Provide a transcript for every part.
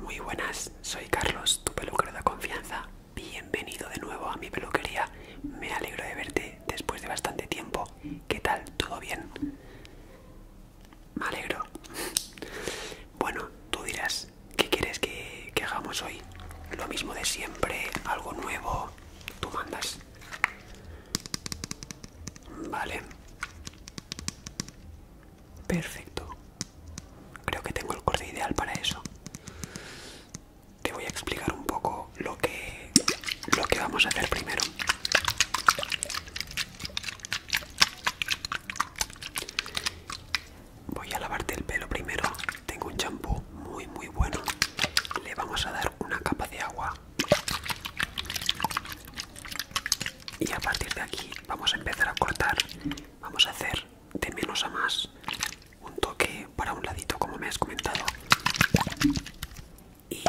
Muy buenas, soy Carlos, tu peluquero de confianza. Bienvenido de nuevo a mi peluquería. Me alegro de verte después de bastante tiempo. ¿Qué tal? ¿Todo bien? Me alegro. Bueno, tú dirás, ¿qué quieres que, que hagamos hoy? Lo mismo de siempre, algo nuevo. Tú mandas. Vale. Perfecto. Creo que tengo el corte ideal para eso. Te voy a explicar un poco lo que, lo que vamos a hacer primero. Voy a lavarte el pelo primero. Tengo un champú muy muy bueno. Le vamos a dar una capa de agua y a partir de aquí vamos a empezar a cortar vamos a hacer de menos a más un toque para un ladito como me has comentado y,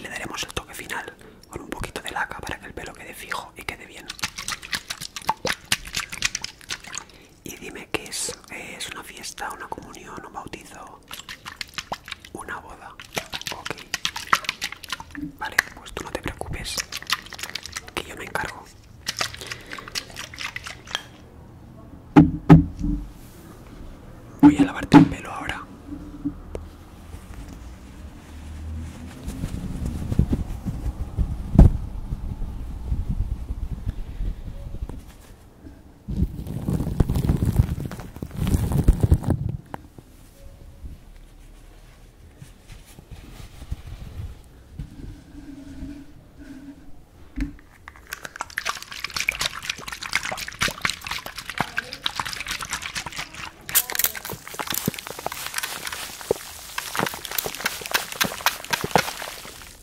le daremos el toque final con un poquito de laca para que el pelo quede fijo y quede bien y dime qué es, eh, es una fiesta, una comunión, un bautizo una boda. Ok. Vale, pues tú no te preocupes. Que yo me encargo. Voy a lavarte el pelo ahora.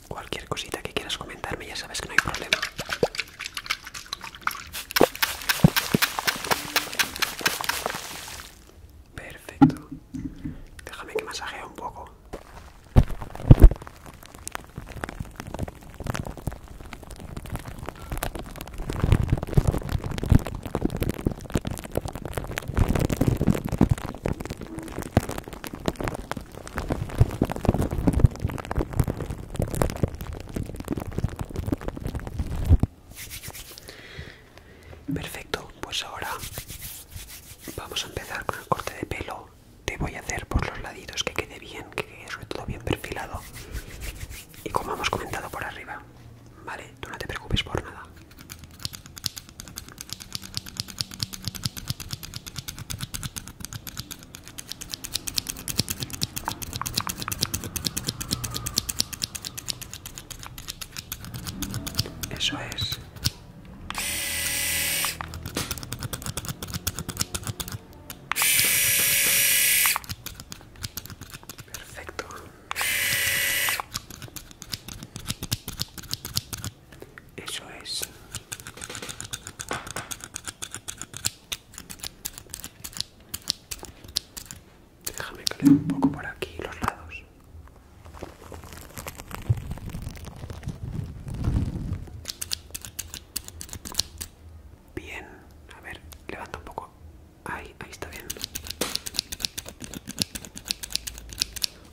Cualquier cosita que quieras comentarme, ya sabes que no hay problema. Perfecto. Déjame que masajee un poco. Perfecto, pues ahora vamos a empezar con el corte de pelo. Te voy a hacer por los laditos que quede bien, que quede sobre todo bien perfilado. Y como hemos comentado por arriba, ¿vale? Tú no te preocupes por nada. Eso es. Perfecto. Eso es. Déjame que un poco por aquí los lados. Bien, a ver, levanta un poco. Ahí, ahí está bien.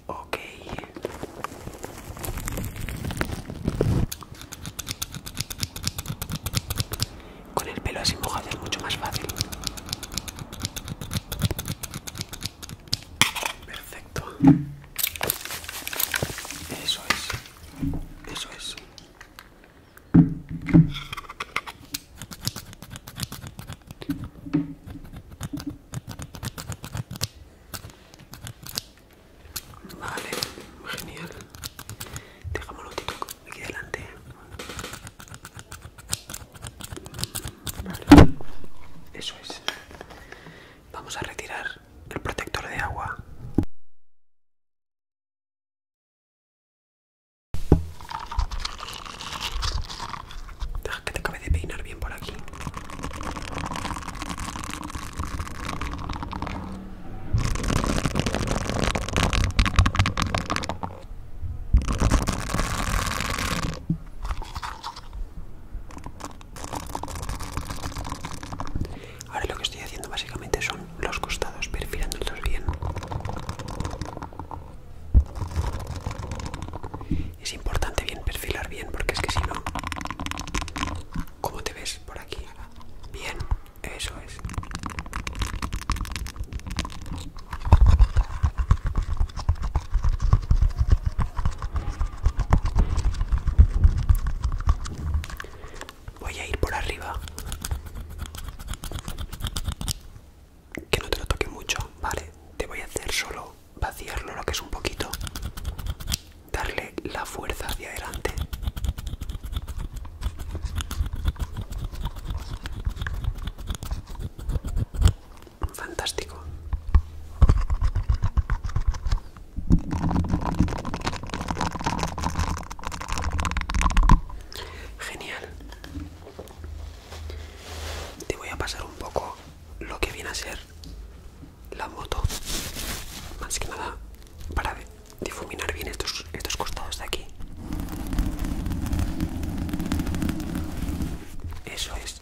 Ok. Con el pelo así mojado es mucho más fácil. Perfecto. Eso es. Eso es. Vale, genial. Dejámoslo aquí delante. Vale, eso es. Vamos a retirar el protector de agua. Deja ah, que te acabe de peinar bien por aquí. Ahora lo que estoy haciendo básicamente son los costados, perfilándolos bien. Es importante bien perfilar bien porque es que si no... ¿Cómo te ves por aquí? Bien, eso es. Voy a ir por arriba que no te lo toque mucho, ¿vale? Te voy a hacer solo vaciarlo lo que es un poquito, darle la fuerza hacia adelante. Fantástico. Genial te voy a pasar un poco lo que viene a ser la moto más que nada para difuminar bien estos, costados de aquí eso es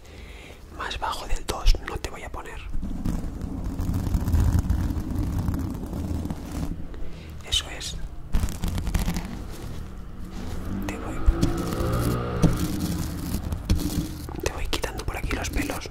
más bajo del 2 no te voy a poner eso es. Te voy. Te voy quitando por aquí los pelos.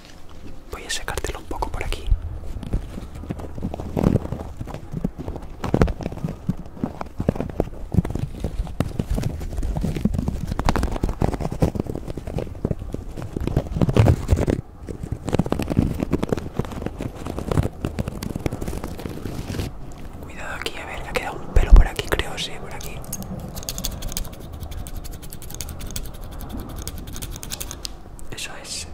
Voy a secártelo un poco por aquí. Cuidado aquí, a ver, ha quedado un pelo por aquí, creo, sí, por aquí. Eso es.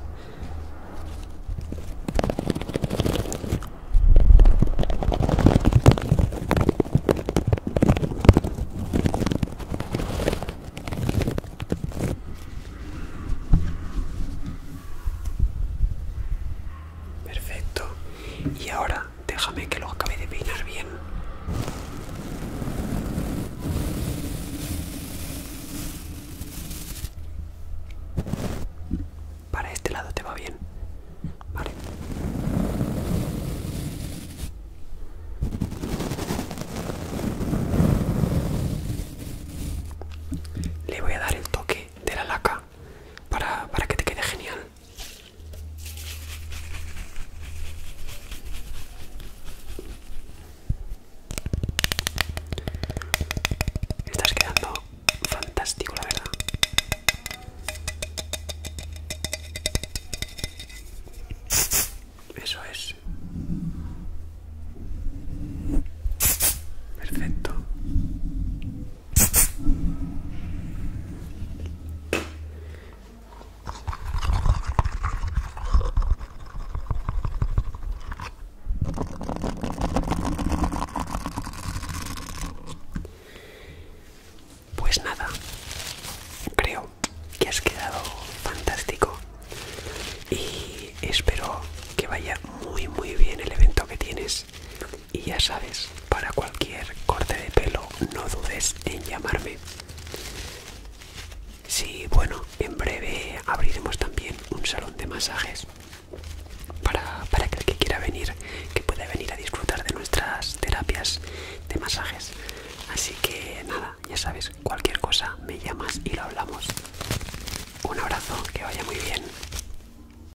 Perfecto. Y ahora déjame que lo acabe de peinar bien. Para este lado te va bien. Vale. Le voy a dar el toque de la laca para que te quede genial. Estás quedando fantástico, la verdad. Eso es. Perfecto. Pues nada, creo que has quedado fantástico y espero que vaya muy muy bien el evento que tienes y ya sabes, para cualquier corte de pelo no dudes en llamarme. Sí, bueno, en breve abriremos también un salón de masajes para, aquel que que quiera venir, que pueda venir a disfrutar de nuestras terapias de masajes. Así que nada, ya sabes, cualquier cosa me llamas y lo hablamos. Un abrazo, que vaya muy bien.